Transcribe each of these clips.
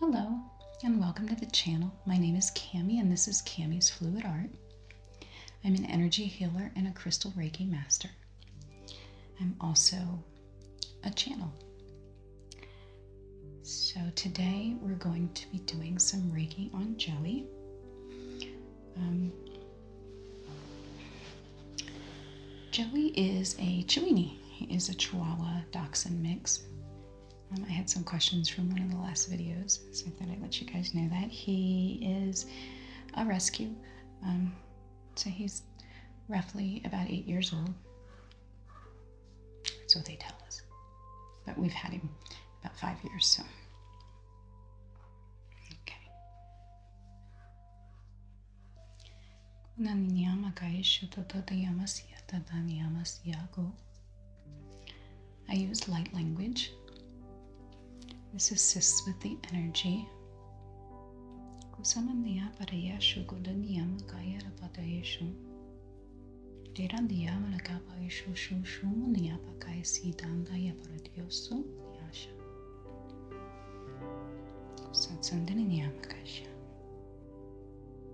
Hello and welcome to the channel. My name is Cami and this is Cami's Fluid Art. I'm an energy healer and a crystal Reiki master. I'm also a channel. So today we're going to be doing some Reiki on jelly. Um, Joey is a Chihuahua. He is a Chihuahua Dachshund mix. Um, I had some questions from one of the last videos, so I thought I'd let you guys know that. He is a rescue, um, so he's roughly about eight years old. That's what they tell us. But we've had him about five years, so. Okay. Kuna niyama kaishu toto niyamasya I use light language. This assists with the energy. Kusama niyaparayashu kuda niyama kayara patayashu. Tera niyama nakapaishu shu shu niyapakaya sitanda yaparadiosu niyasha. Satsandini niyama kaisha.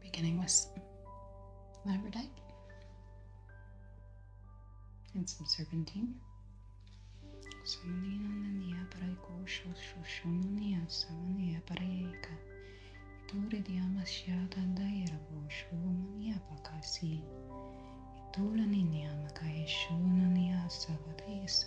Beginning with labradite and some serpentine. Samnina paraico shoshonia samania paraica. Ituri diamashyada dairabo shumania pakasi. Itulani niamakaishunania savadesa.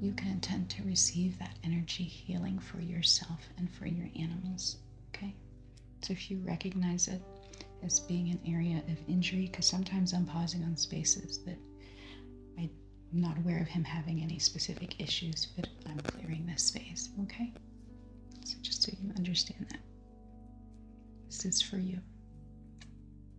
you can intend to receive that energy healing for yourself and for your animals. Okay? So if you recognize it as being an area of injury, because sometimes I'm pausing on spaces that I'm not aware of him having any specific issues, but I'm clearing this space. Okay? So just so you understand that. This is for you.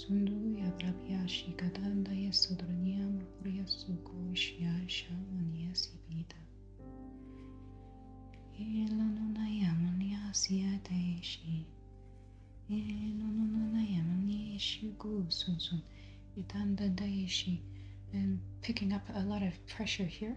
sundu yabrabhyashi kadandaya sudraniyam hurya suko shyasha manyasi pita. Elanunaya manyasya deshi. Elanunaya manyeshi gu sunsun. Itanda deshi. And picking up a lot of pressure here.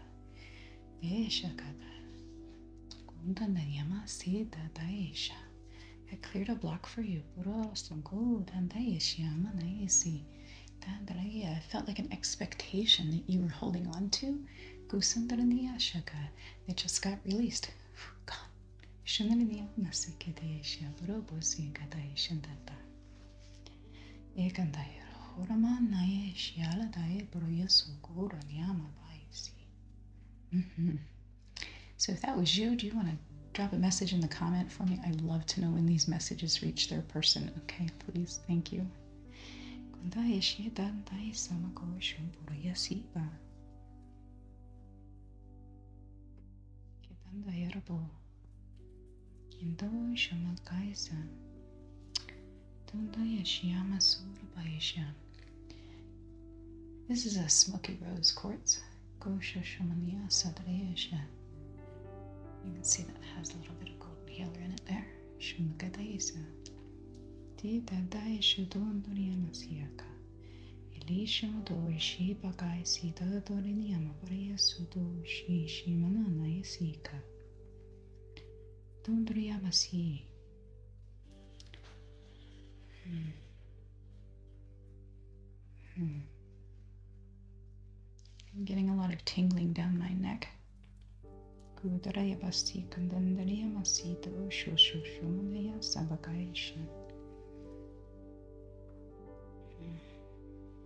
Esha kada. Kunda nanyama sita daisha. I cleared a block for you. I felt like an expectation that you were holding on to. They just got released. Gone. So if that was you, do you want to drop a message in the comment for me? I love to know when these messages reach their person. Okay, please, thank you. Indoshamakaisa Dundayashiyama Surabayasham. This is a smoky rose quartz. Gosha Shamaniya Sadrayasha. You can see that has a little bit of golden healer in it there. Shumakadaisa. Tidadayasha Dunduriyamasiyaka. Elishama Dorishi Bagai Sida Doriniyama Bariya Sudo Shi Shimananayasika. Tendría así. Hmm. Hmm. I'm getting a lot of tingling down my neck. Kudaraya basti kandandaraya masito shu shu shumudaya sabakaishan. Hmm.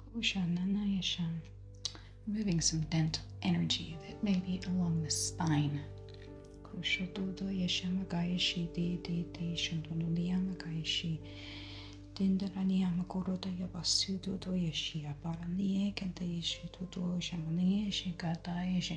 Kushananayasha. removing some dental energy that may be along the spine. Kushododoyashamagayashi de de de shantonuliyamagayashi. Dindaraniyamakorodayabasudodoyashi aparaniye kentayashi dodoyashamanayashi gatayashi.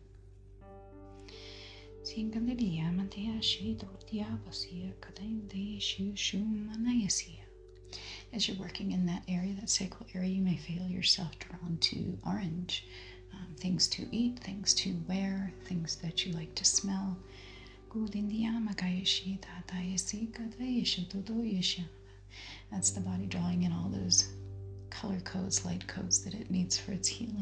Se encandelia, manteashi, dhotya, vasya, kadai, deshu, shu, manayasya. As you're working in that area, that sacral area, you may feel yourself drawn to orange. Um, things to eat, things to wear, things that you like to smell. Gudindiyama gayashi, tatayasi, kadayasha, dodoyasha. That's the body drawing in all those color codes, light codes that it needs for its healing.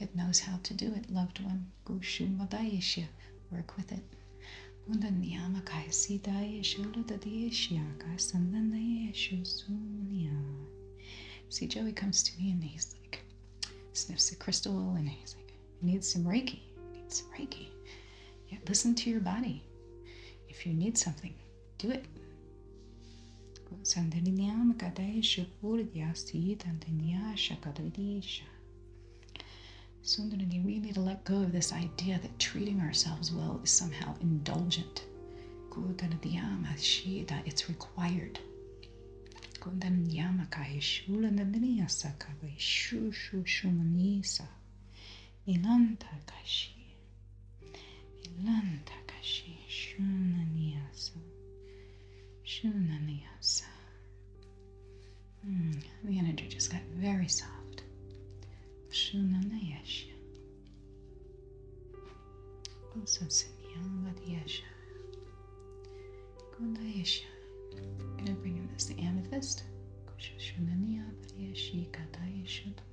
It knows how to do it, loved one. Work with it. See, Joey comes to me and he's like, sniffs the crystal and he's like, needs some Reiki. I some Reiki. Yeah, listen to your body. If you need something, do it Sandalinyam Kadesha Purdhyasi Tandinya Shakadvidisha. Sundari, we need to let go of this idea that treating ourselves well is somehow indulgent. It's required. Ilanta kashi Milan Takashi Shunaniyasu. Shunaniyasu. Mm, the energy just got very soft. Shunanayasha. Also Sinyangvadiyasha. Gondayasha. I'm going to bring in this the amethyst. Shunaniyavadiyashikadayashuddha.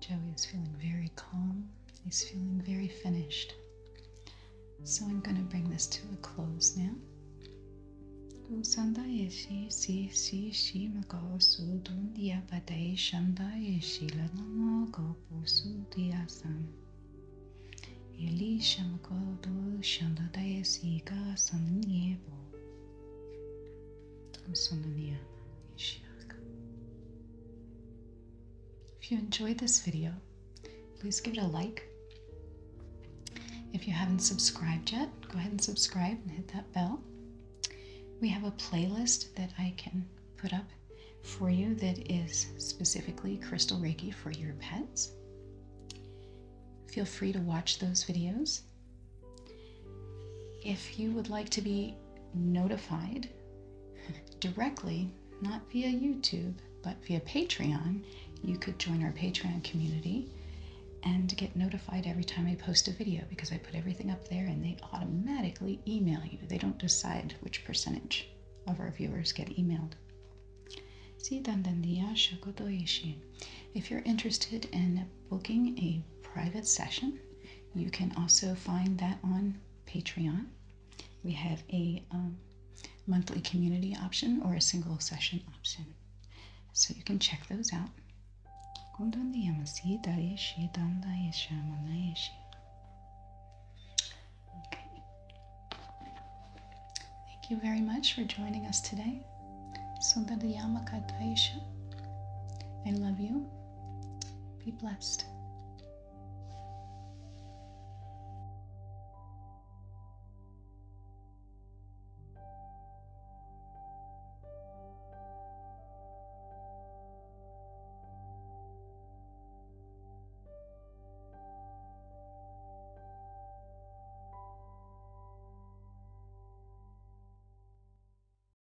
Joey is feeling very calm. He's feeling very finished. So I'm going to bring this to a close now. If you enjoyed this video, please give it a like. If you haven't subscribed yet, go ahead and subscribe and hit that bell. We have a playlist that I can put up for you that is specifically crystal reiki for your pets. Feel free to watch those videos. If you would like to be notified directly, not via YouTube, but via Patreon, you could join our Patreon community and get notified every time I post a video because I put everything up there and they automatically email you. They don't decide which percentage of our viewers get emailed. If you're interested in booking a private session you can also find that on Patreon. We have a um, monthly community option or a single session option. So you can check those out. Thank you very much for joining us today. Sundarayama Kadaisha. I love you. Be blessed.